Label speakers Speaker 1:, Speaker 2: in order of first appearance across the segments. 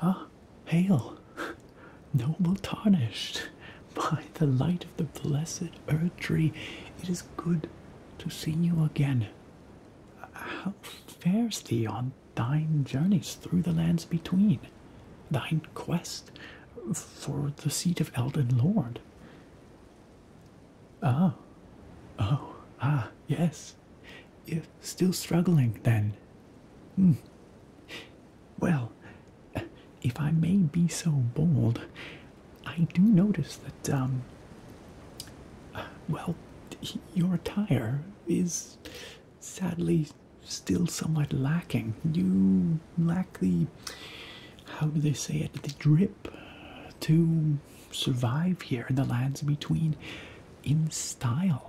Speaker 1: Ah, hail, noble tarnished, by the light of the blessed earth tree, it is good to see you again. How fares thee on thine journeys through the lands between, thine quest for the seat of Elden Lord? Ah, oh, ah, yes, yes. If still struggling, then. Hmm. Well, if I may be so bold, I do notice that, um, Well, your attire is sadly still somewhat lacking. You lack the. How do they say it? The drip to survive here in the lands between in style.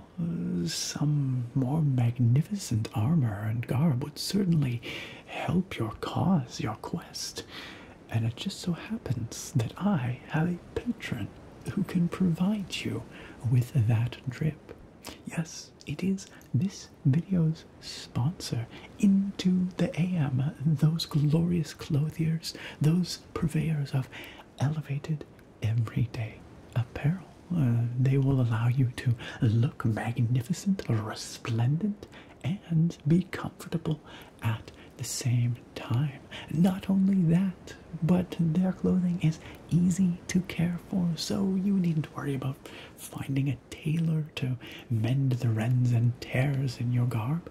Speaker 1: Some more magnificent armor and garb would certainly help your cause, your quest. And it just so happens that I have a patron who can provide you with that drip. Yes, it is this video's sponsor, Into the AM, those glorious clothiers, those purveyors of elevated everyday apparel. Uh, they will allow you to look magnificent, resplendent, and be comfortable at the same time. Not only that, but their clothing is easy to care for, so you needn't worry about finding a tailor to mend the rends and tears in your garb.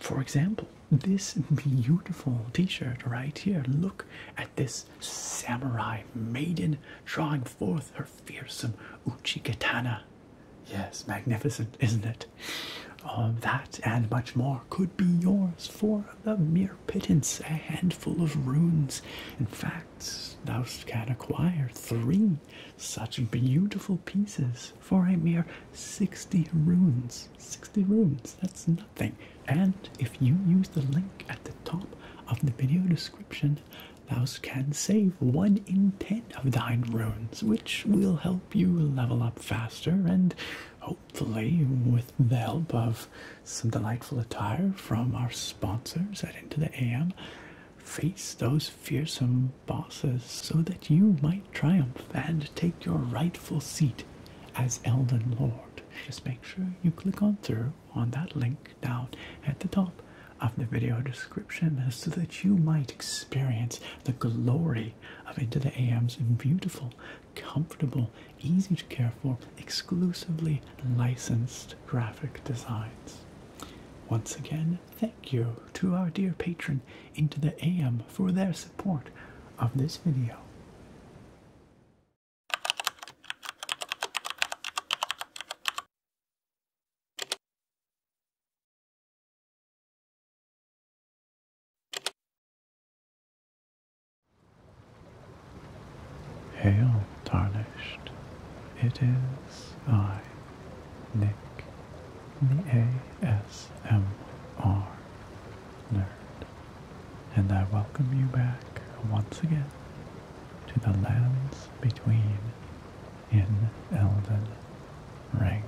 Speaker 1: For example, this beautiful t-shirt right here look at this samurai maiden drawing forth her fearsome uchi katana yes magnificent isn't it um, that and much more could be yours for the mere pittance a handful of runes in fact thou can acquire three such beautiful pieces for a mere 60 runes 60 runes, that's nothing. And if you use the link at the top of the video description, thou can save 1 in 10 of thine runes, which will help you level up faster and hopefully, with the help of some delightful attire from our sponsors at Into the AM, face those fearsome bosses so that you might triumph and take your rightful seat as Elden Lord just make sure you click on through on that link down at the top of the video description so that you might experience the glory of Into the AM's beautiful, comfortable, easy to care for, exclusively licensed graphic designs. Once again, thank you to our dear patron Into the AM for their support of this video. Hail, tarnished. It is I, Nick, the ASMR nerd and I welcome you back once again to the lands between in Elden Ring.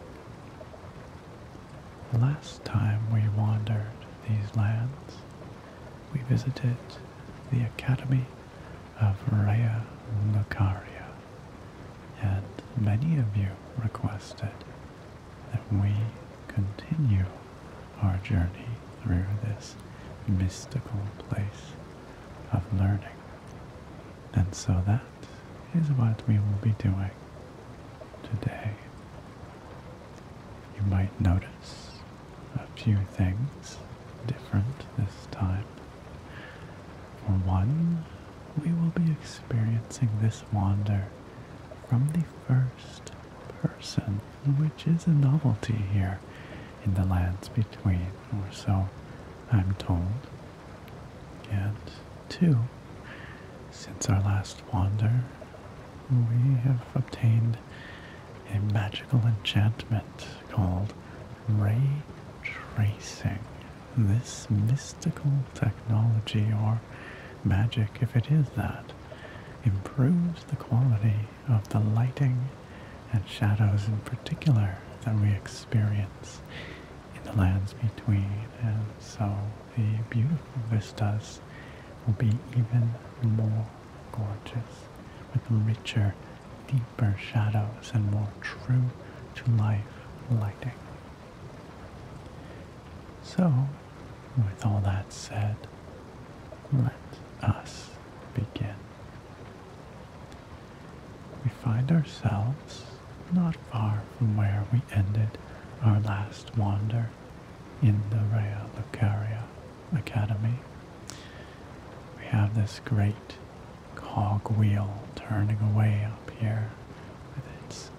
Speaker 1: Last time we wandered these lands, we visited the Academy of Raya Lucaria, and many of you requested that we continue our journey through this mystical place of learning. And so that is what we will be doing today. You might notice a few things different this time. For one, we will be experiencing this wander from the first person, which is a novelty here in the lands between, or so I'm told. And two, since our last wander, we have obtained a magical enchantment called ray tracing. This mystical technology or magic, if it is that, improves the quality of the lighting and shadows in particular that we experience in the lands between. And so the beautiful vistas will be even more gorgeous with richer, deeper shadows and more true to life lighting. So, with all that said, let us begin. We find ourselves not far from where we ended our last wander in the of Lucaria Academy. We have this great cog wheel turning away up here with its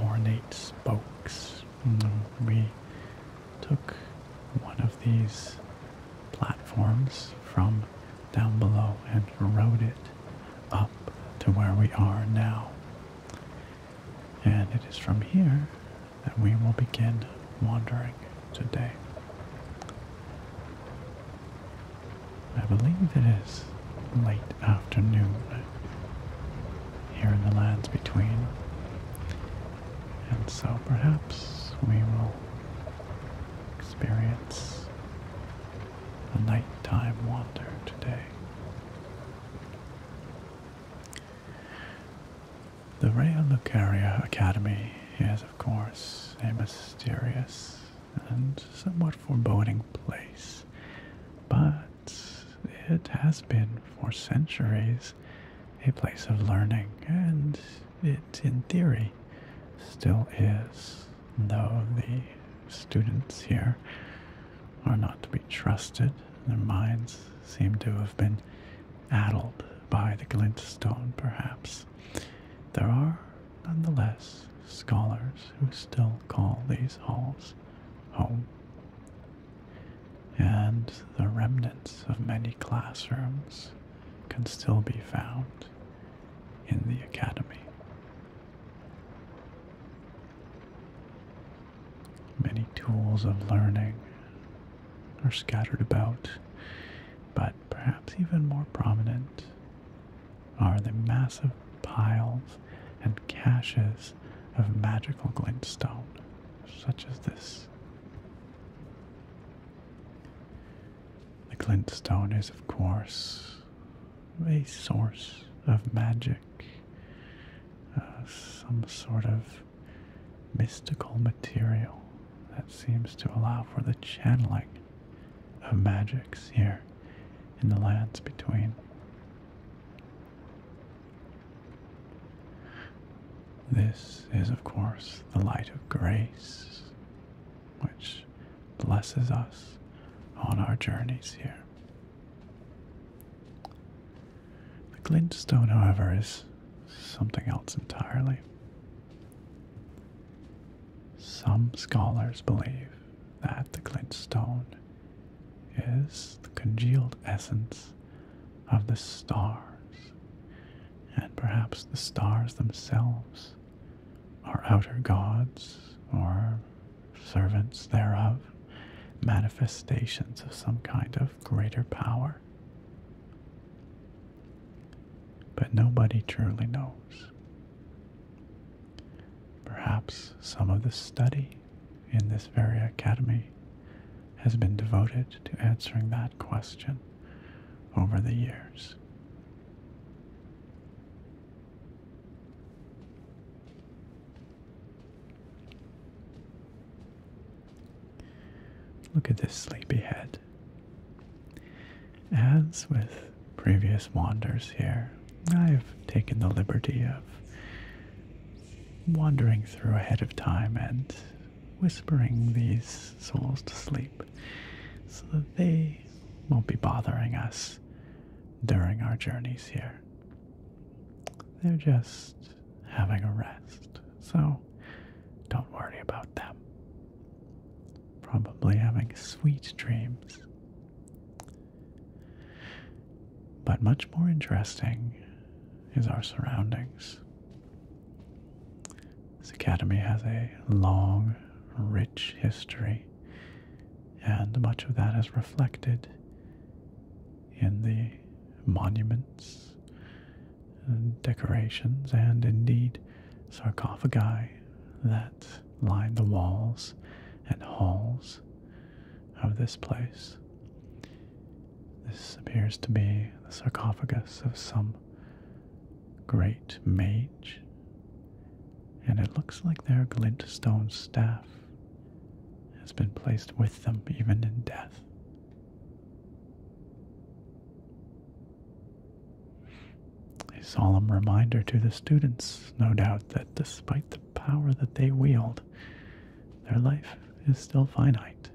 Speaker 1: ornate spokes Mm-hmm. we took one of these platforms from down below and rode it up to where we are now. And it is from here that we will begin wandering today. I believe it is late afternoon here in the lands between. And so perhaps we will experience a nighttime wander today. The Rhea Lucaria Academy is, of course, a mysterious and somewhat foreboding place, but it has been for centuries a place of learning, and it, in theory, still is, though the students here are not to be trusted. Their minds seem to have been addled by the glintstone, perhaps. There are, nonetheless, scholars who still call these halls home and the remnants of many classrooms can still be found in the academy. Many tools of learning are scattered about, but perhaps even more prominent are the massive piles and caches of magical glintstone, such as this. The glintstone is, of course, a source of magic, uh, some sort of mystical material that seems to allow for the channeling of magics here in the lands between. This is, of course, the light of grace, which blesses us on our journeys here. The glintstone, however, is something else entirely. Some scholars believe that the glintstone is the congealed essence of the stars, and perhaps the stars themselves are outer gods or servants thereof, manifestations of some kind of greater power. But nobody truly knows. Perhaps some of the study in this very academy has been devoted to answering that question over the years. Look at this sleepy head. As with previous wanders here, I've taken the liberty of wandering through ahead of time and whispering these souls to sleep so that they won't be bothering us during our journeys here. They're just having a rest, so don't worry about them. Probably having sweet dreams. But much more interesting is our surroundings. This academy has a long, rich history, and much of that is reflected in the monuments, and decorations, and indeed sarcophagi that line the walls and halls of this place. This appears to be the sarcophagus of some great mage, and it looks like their glintstone staff has been placed with them even in death. A solemn reminder to the students, no doubt, that despite the power that they wield, their life is still finite.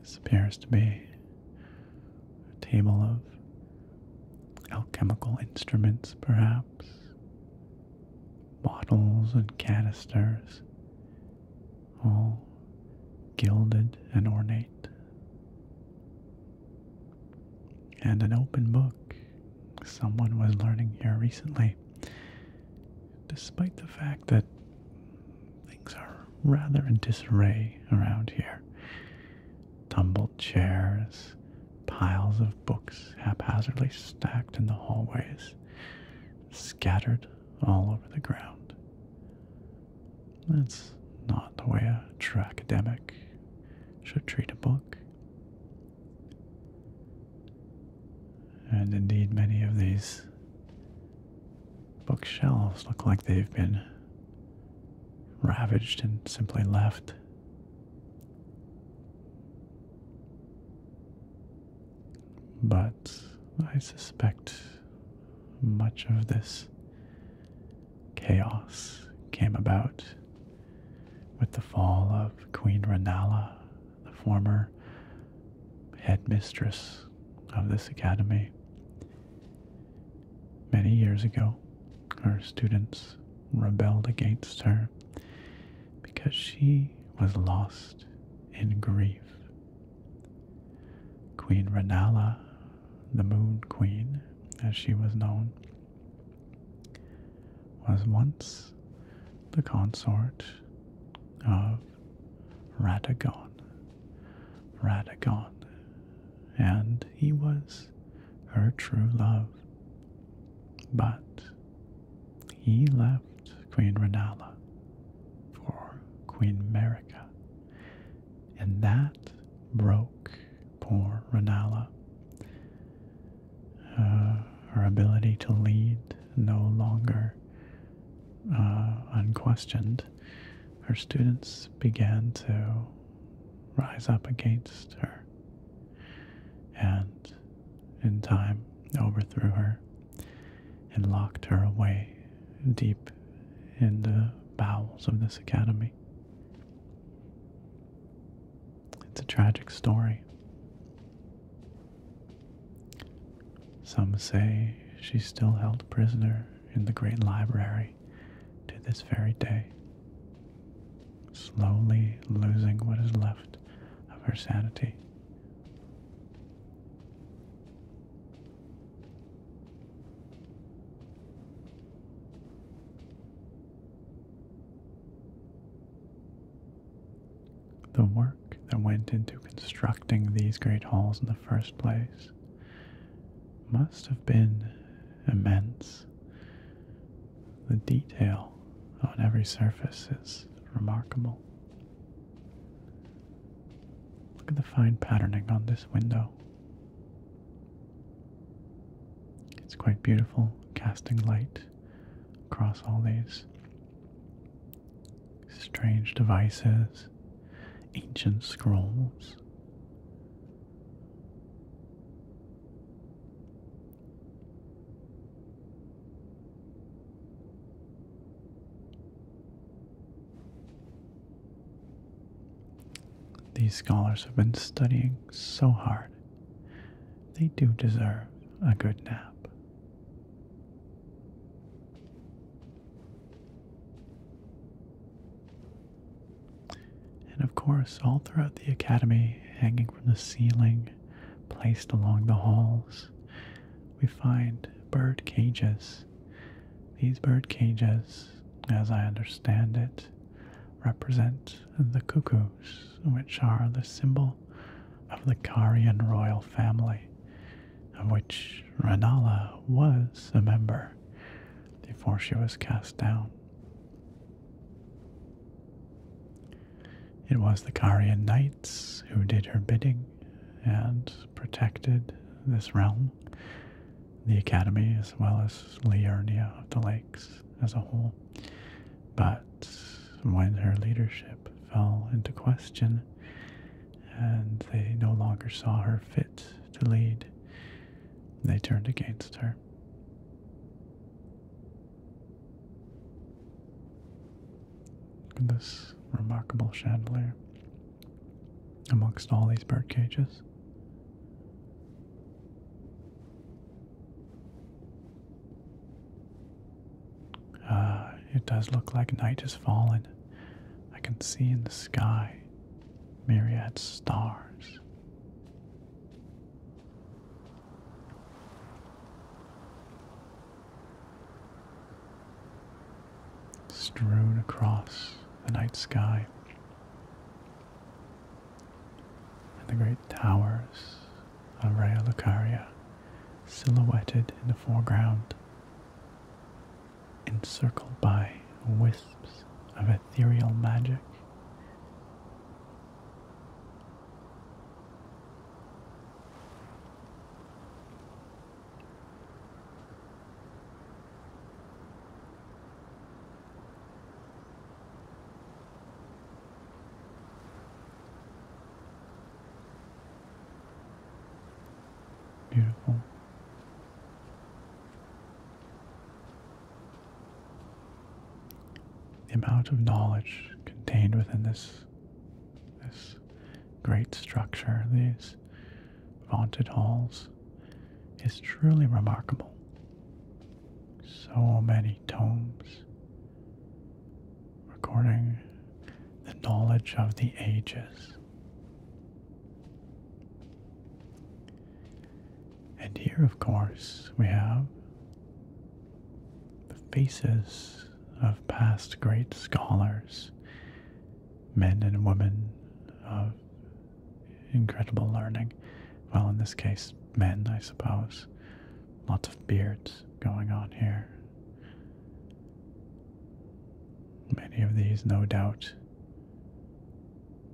Speaker 1: This appears to be a table of alchemical instruments, perhaps, bottles and canisters, all gilded and ornate. And an open book. Someone was learning here recently, despite the fact that things are rather in disarray around here. Tumbled chairs, piles of books haphazardly stacked in the hallways, scattered all over the ground. That's not the way a true academic should treat a book. And indeed, many of these bookshelves look like they've been ravaged and simply left. But I suspect much of this chaos came about with the fall of Queen Ranala, the former headmistress of this academy. Many years ago, her students rebelled against her because she was lost in grief Queen Ranala, the Moon Queen, as she was known, was once the consort of Radagon. Radagon, and he was her true love. But he left Queen Ranala for Queen Merica, and that broke poor Ranala. Uh, her ability to lead no longer uh, unquestioned. Her students began to rise up against her and in time overthrew her and locked her away deep in the bowels of this academy. It's a tragic story. Some say she's still held prisoner in the great library to this very day, slowly losing what is left of her sanity. The work that went into constructing these great halls in the first place must have been immense. The detail on every surface is remarkable. Look at the fine patterning on this window. It's quite beautiful, casting light across all these strange devices, ancient scrolls. These scholars have been studying so hard. They do deserve a good nap. And of course, all throughout the academy, hanging from the ceiling, placed along the halls, we find bird cages these bird cages, as I understand it, represent the cuckoos, which are the symbol of the Karian royal family, of which Ranala was a member before she was cast down. It was the Karian knights who did her bidding, and protected this realm, the Academy, as well as Liurnia of the Lakes as a whole. But when her leadership fell into question and they no longer saw her fit to lead, they turned against her. This remarkable chandelier amongst all these bird cages. Uh, it does look like night has fallen. I can see in the sky myriad stars strewn across the night sky. And the great towers of Raya silhouetted in the foreground, encircled by wisps of ethereal magic. Beautiful. The amount of knowledge contained within this this great structure, these vaunted halls is truly remarkable. So many tomes recording the knowledge of the ages. And here, of course, we have the faces of past great scholars men and women of incredible learning. Well, in this case, men, I suppose. Lots of beards going on here. Many of these, no doubt,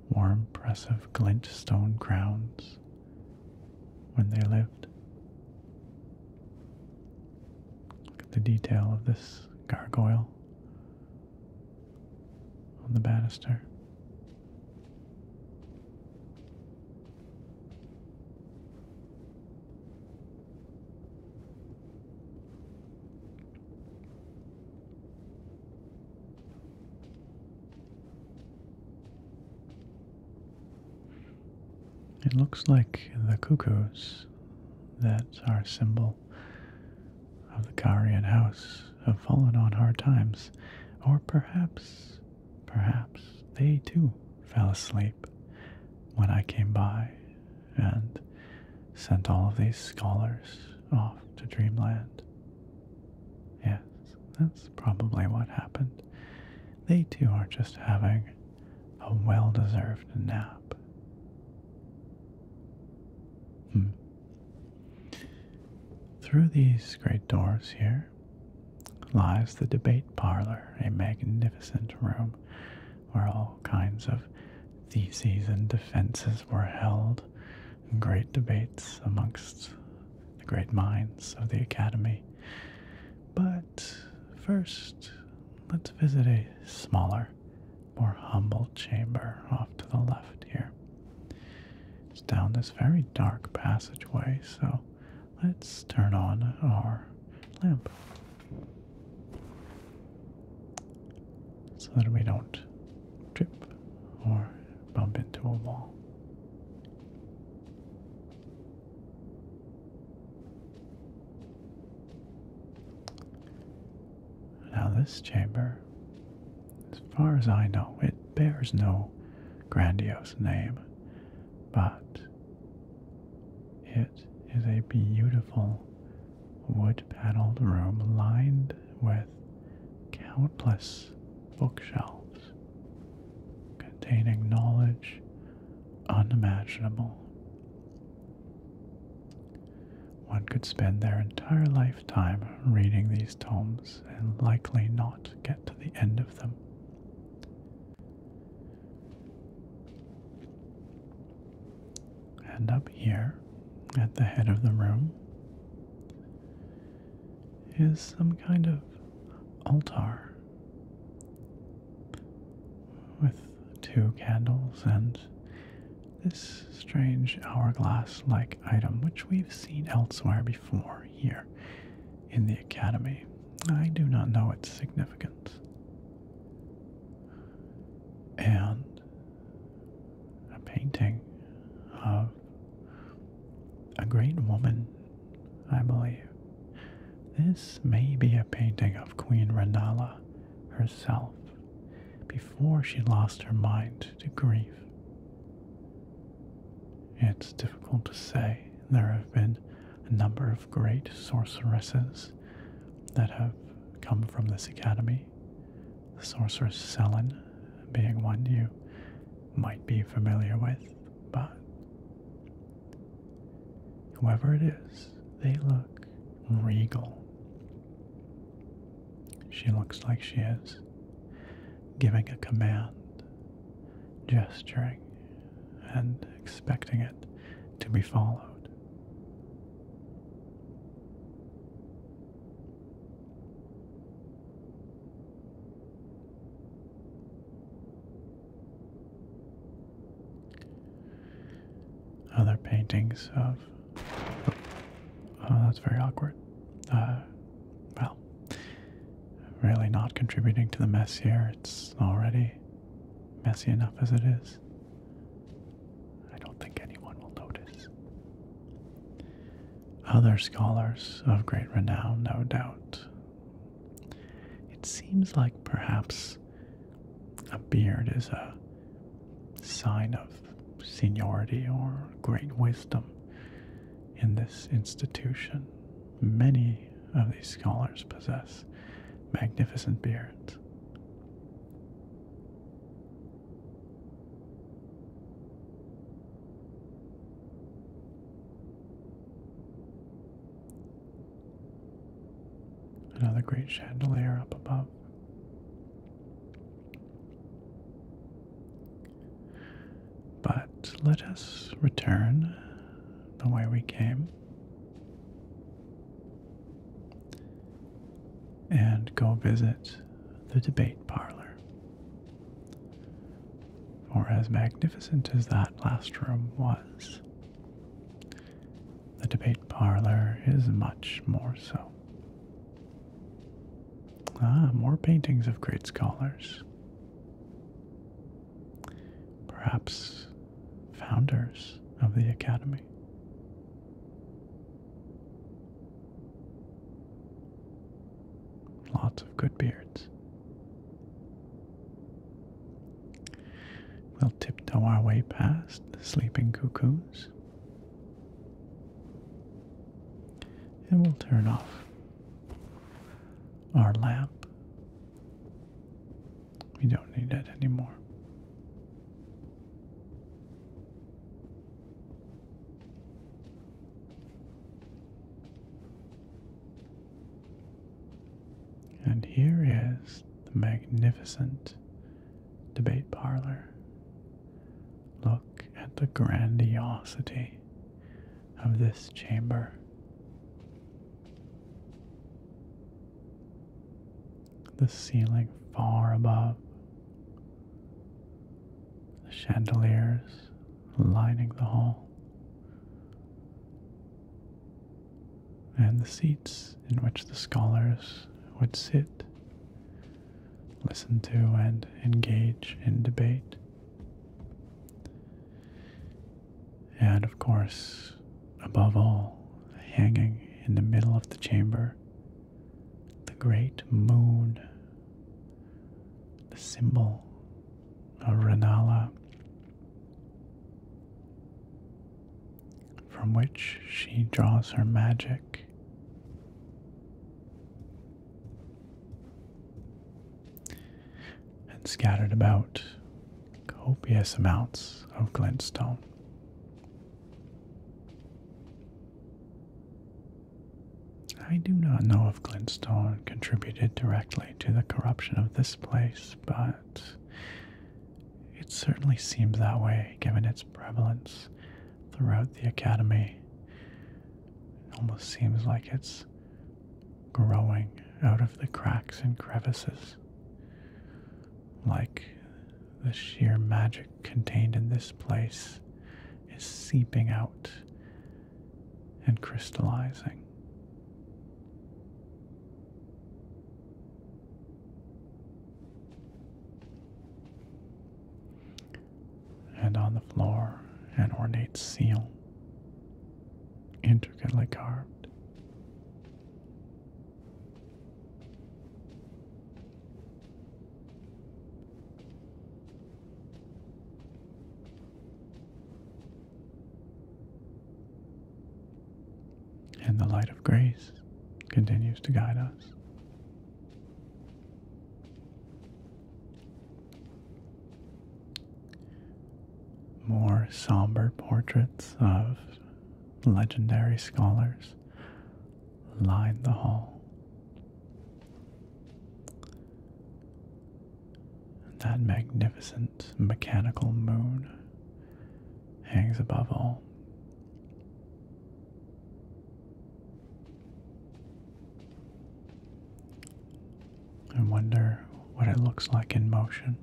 Speaker 1: wore impressive glint stone crowns when they lived. Look at the detail of this gargoyle on the banister. It looks like the cuckoos that are symbol of the Garian house have fallen on hard times, or perhaps, perhaps they too fell asleep when I came by and sent all of these scholars off to dreamland. Yes, that's probably what happened. They too are just having a well deserved nap. Hmm. Through these great doors here lies the debate parlor, a magnificent room where all kinds of theses and defenses were held, and great debates amongst the great minds of the academy. But first, let's visit a smaller, more humble chamber off to the left here. It's down this very dark passageway, so let's turn on our lamp so that we don't trip or bump into a wall. Now, this chamber, as far as I know, it bears no grandiose name, but it is a beautiful wood paneled room lined with countless bookshelves containing knowledge unimaginable one could spend their entire lifetime reading these tomes and likely not get to the end of them. And up here, at the head of the room, is some kind of altar with two candles and this strange hourglass like item, which we've seen elsewhere before here in the Academy. I do not know its significance. And a painting of a great woman, I believe. This may be a painting of Queen Rendala herself before she lost her mind to grief. It's difficult to say. There have been a number of great sorceresses that have come from this academy. The sorceress Selin being one you might be familiar with, but whoever it is, they look regal. She looks like she is giving a command, gesturing, and expecting it to be followed. Other paintings of. Oh, that's very awkward. Uh, well, really not contributing to the mess here. It's already messy enough as it is. I don't think anyone will notice. Other scholars of great renown, no doubt. It seems like perhaps a beard is a sign of seniority or great wisdom in this institution. Many of these scholars possess magnificent beards. Another great chandelier up above. But let us return the way we came and go visit the debate parlor. For as magnificent as that last room was, the debate parlor is much more so. Ah, more paintings of great scholars. Perhaps founders of the academy. Lots of good beards. We'll tiptoe our way past the sleeping cuckoos. And we'll turn off our lamp. We don't need it anymore. And here is the magnificent debate parlor. Look at the grandiosity of this chamber. The ceiling far above, the chandeliers lining the hall, and the seats in which the scholars would sit, listen to, and engage in debate. And of course, above all, hanging in the middle of the chamber, the great moon, the symbol of Renala from which she draws her magic. And scattered about copious amounts of glintstone. I do not know if glintstone contributed directly to the corruption of this place, but it certainly seems that way given its prevalence throughout the academy. It almost seems like it's growing out of the cracks and crevices. Like the sheer magic contained in this place is seeping out and crystallizing. And on the floor, an ornate seal, intricately carved and the light of grace continues to guide us. More somber portraits of legendary scholars line the hall. That magnificent mechanical moon hangs above all I wonder what it looks like in motion.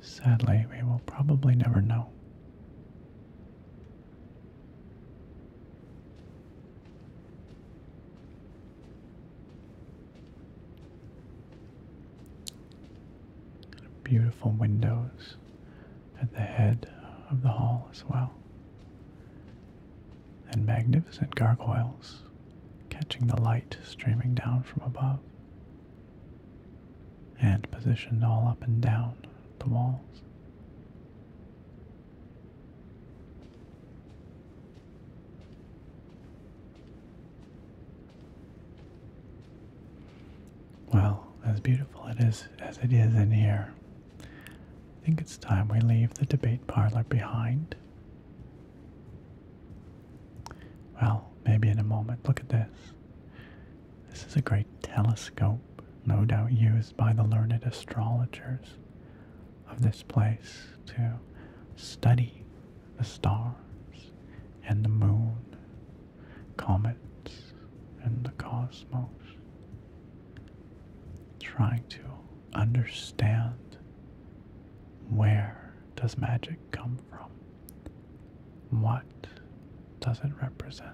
Speaker 1: Sadly, we will probably never know beautiful windows at the head of the hall as well. And magnificent gargoyles catching the light streaming down from above. And positioned all up and down the walls. Well, as beautiful it is as it is in here, I think it's time we leave the debate parlor behind. Well, maybe in a moment. Look at this. This is a great telescope, no doubt used by the learned astrologers of this place to study the stars and the moon, comets and the cosmos, trying to understand where does magic come from? What does it represent?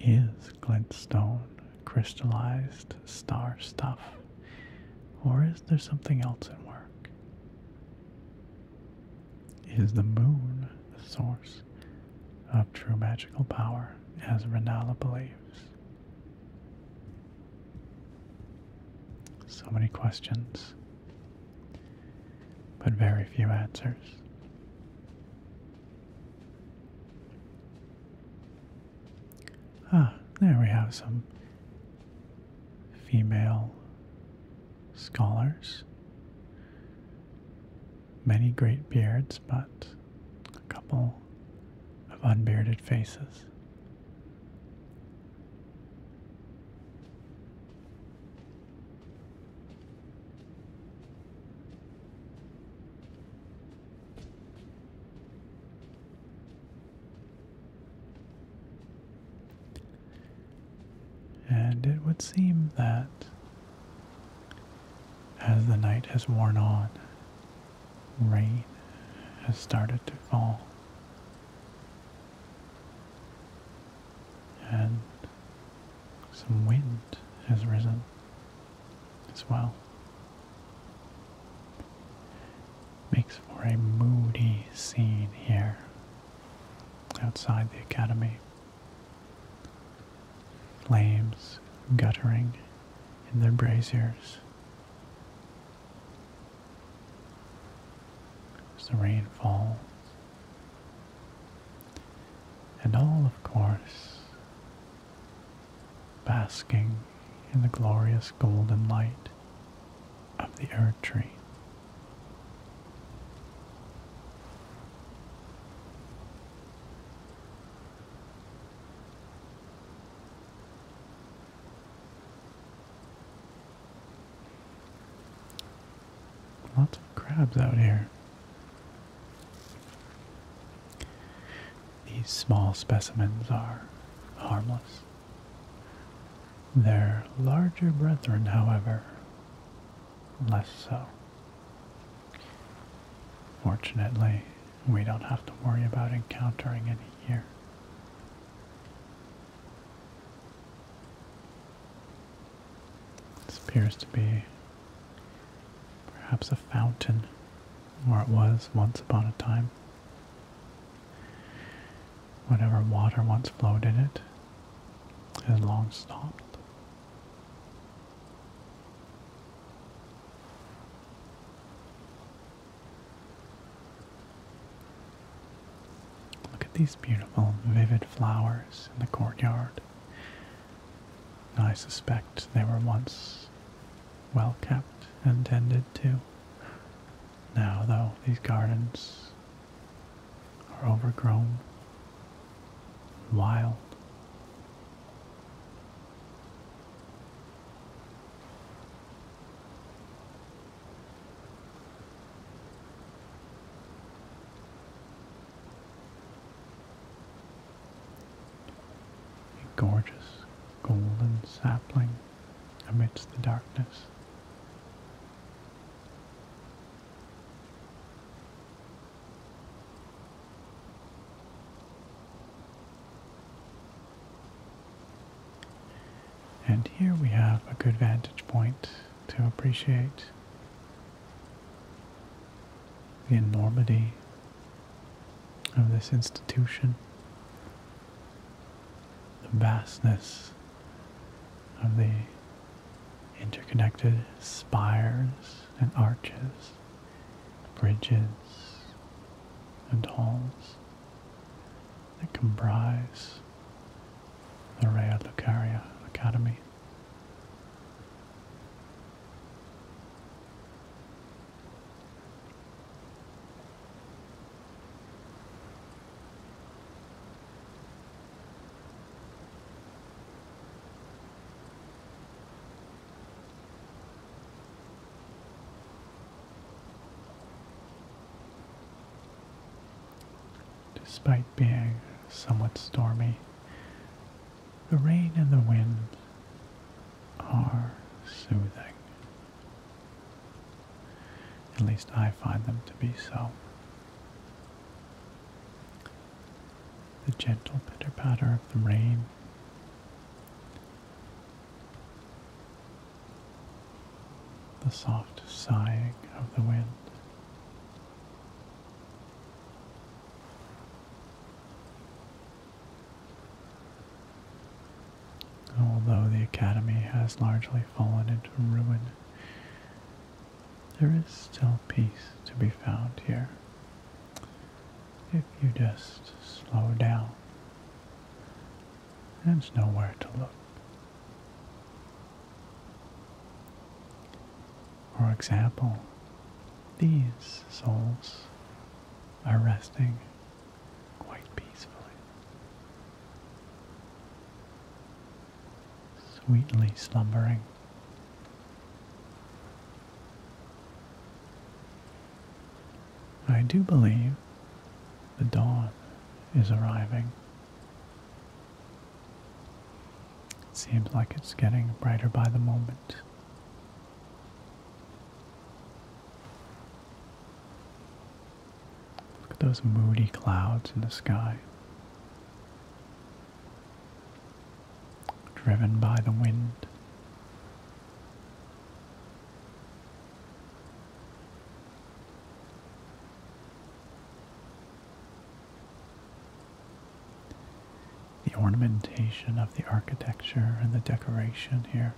Speaker 1: Is glintstone crystallized star stuff? Or is there something else at work? Is the moon the source of true magical power, as Renala believes? So many questions, but very few answers. Ah, there we have some female scholars. Many great beards, but a couple of unbearded faces. And it would seem that as the night has worn on, rain has started to fall. And some wind has risen as well. Makes for a moody scene here outside the academy. Flames guttering in their braziers. As the rain falls. And all, of course, basking in the glorious golden light of the earth tree. Lots of crabs out here. These small specimens are harmless. Their larger brethren, however, less so. Fortunately, we don't have to worry about encountering any here. This appears to be perhaps a fountain, or it was once upon a time. Whatever water once flowed in it has long stopped. Look at these beautiful, vivid flowers in the courtyard. I suspect they were once well kept and tended too. Now, though, these gardens are overgrown, wild a gorgeous golden sapling amidst the darkness. And here we have a good vantage point to appreciate the enormity of this institution, the vastness of the interconnected spires and arches, bridges and halls that comprise the Real Lucaria Academy. Despite being somewhat stormy, the rain and the wind are soothing. At least I find them to be so. The gentle pitter patter of the rain. The soft sighing of the wind. Although the Academy has largely fallen into ruin, there is still peace to be found here. If you just slow down and know where to look. For example, these souls are resting quite peacefully. Sweetly slumbering. I do believe the dawn is arriving. seems like it's getting brighter by the moment. Look at those moody clouds in the sky. Driven by the wind. The ornamentation of the architecture and the decoration here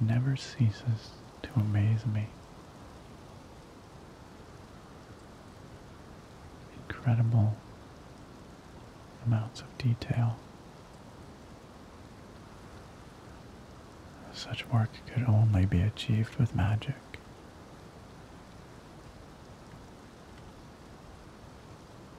Speaker 1: never ceases to amaze me. Incredible amounts of detail. Such work could only be achieved with magic.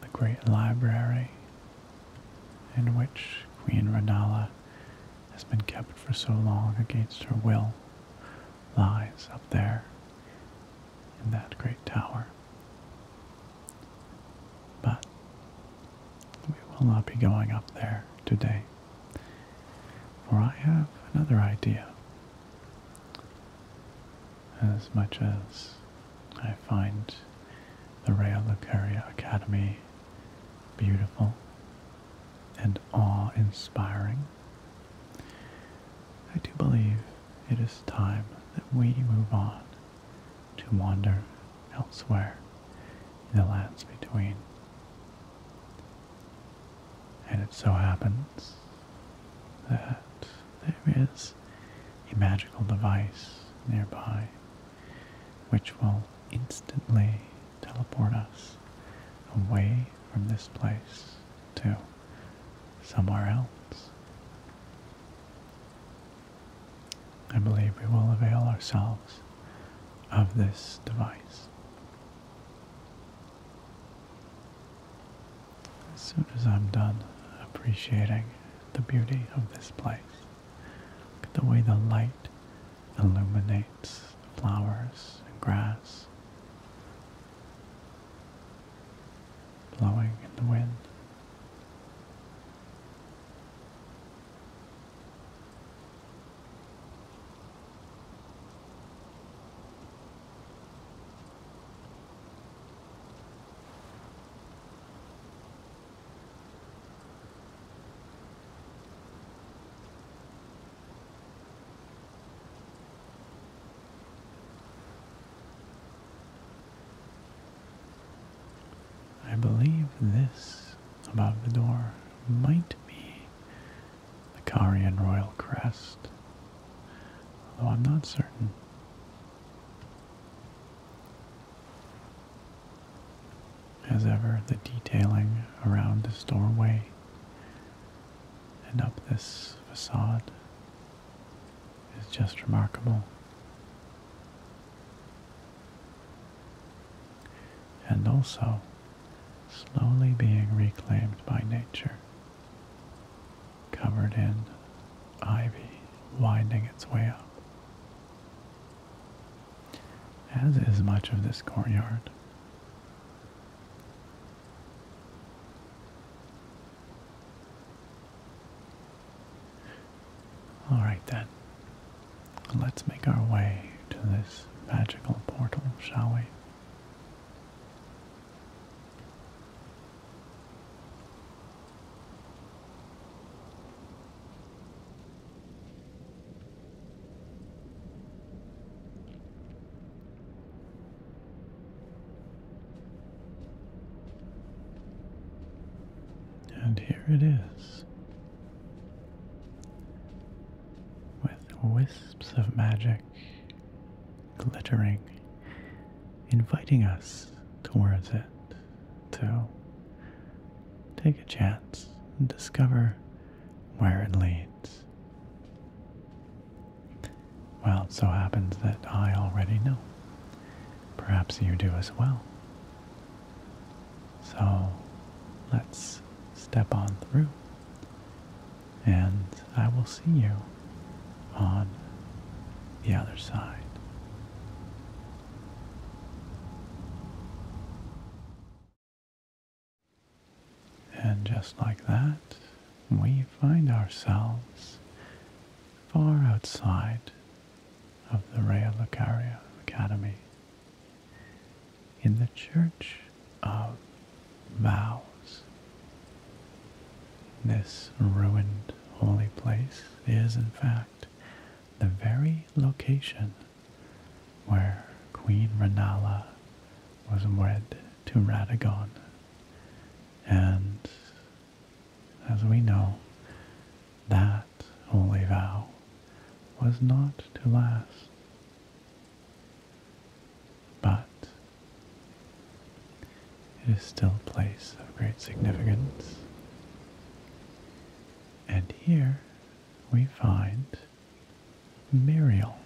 Speaker 1: The great library in which Queen Radala has been kept for so long against her will lies up there in that great tower. But we will not be going up there today, for I have another idea. As much as I find the Rhea Lucaria Academy beautiful and awe-inspiring, I do believe it is time that we move on to wander elsewhere in the lands between. And it so happens that there is a magical device nearby which will instantly teleport us away from this place to somewhere else. I believe we will avail ourselves of this device. As soon as I'm done appreciating the beauty of this place, look at the way the light illuminates the flowers and grass, blowing in the wind. I believe this above the door might be the Carian royal crest, although I'm not certain. As ever, the detailing around this doorway and up this facade is just remarkable. And also slowly being reclaimed by nature, covered in ivy winding its way up. As is much of this courtyard. All right then. Let's make our way to this magical portal, shall we? And here it is. With wisps of magic glittering, inviting us towards it to take a chance and discover where it leads. Well, it so happens that I already know. Perhaps you do as well. So let's step on through, and I will see you on the other side. And just like that, we find ourselves far outside of the Rhea Lucaria Academy in the Church of Vows. This ruined holy place is, in fact, the very location where Queen Renala was wed to Radagon and as we know, that holy vow was not to last. But it is still a place of great significance. And here we find Muriel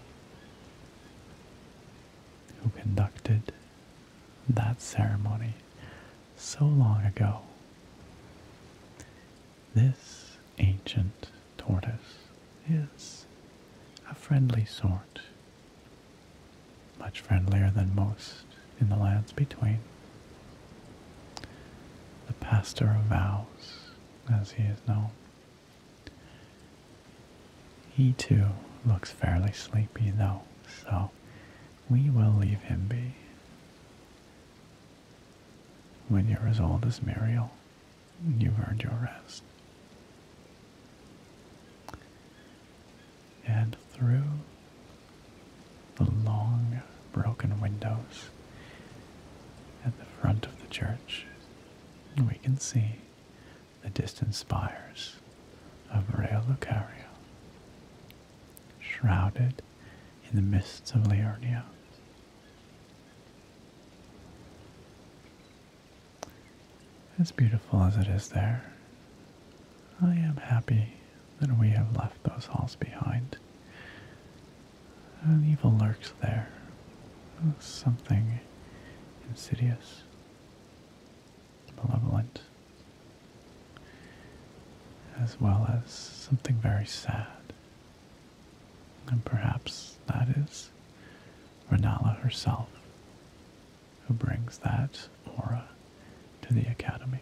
Speaker 1: who conducted that ceremony so long ago. This ancient tortoise is a friendly sort, much friendlier than most in the lands between. The pastor of vows, as he is known, he too looks fairly sleepy though, so we will leave him be. When you're as old as Muriel, you've earned your rest. And through the long broken windows at the front of the church, we can see the distant spires of Realocario, shrouded in the mists of Liurnia. As beautiful as it is there, I am happy that we have left those halls behind. An evil lurks there, something insidious, malevolent, as well as something very sad. And perhaps that is Renala herself who brings that aura to the academy.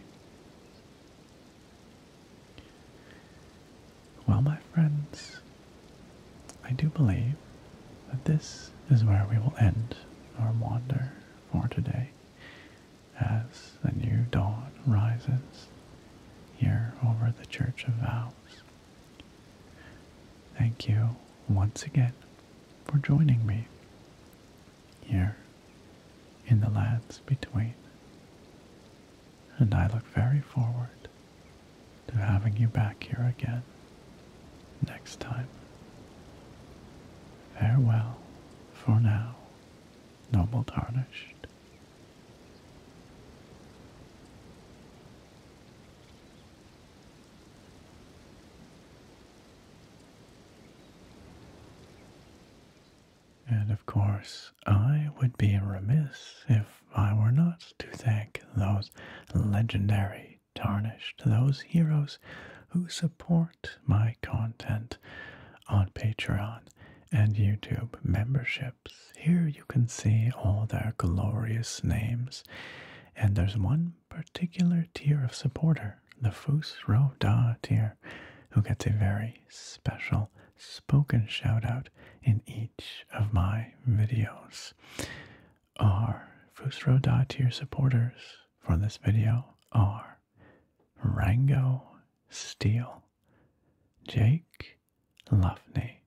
Speaker 1: Well, my friends, I do believe that this is where we will end our wander for today as the new dawn rises here over the Church of Vows. Thank you once again for joining me here in the lands between, and I look very forward to having you back here again next time. Farewell for now, noble tarnished. And of course, I would be remiss if I were not to thank those legendary tarnished those heroes who support my content on Patreon and YouTube memberships. Here you can see all their glorious names, and there's one particular tier of supporter, the Fus Roda tier, who gets a very special spoken shoutout in each of my videos are Fusro Dot tier supporters for this video are Rango Steel, Jake Luffney,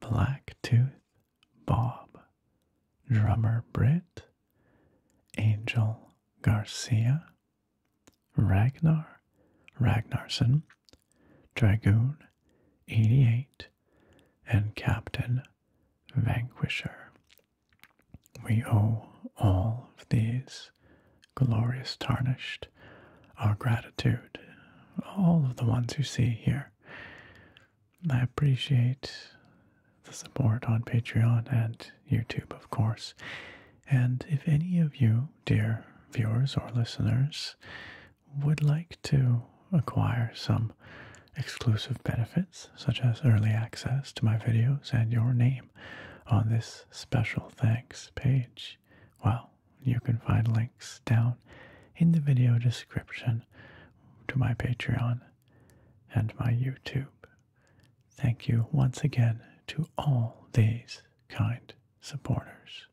Speaker 1: Blacktooth Bob, Drummer Britt, Angel Garcia, Ragnar Ragnarsson, Dragoon 88, and Captain vanquisher. We owe all of these glorious tarnished our gratitude, all of the ones you see here. I appreciate the support on Patreon and YouTube, of course. And if any of you, dear viewers or listeners, would like to acquire some exclusive benefits, such as early access to my videos and your name on this special thanks page, well, you can find links down in the video description to my Patreon and my YouTube. Thank you once again to all these kind supporters.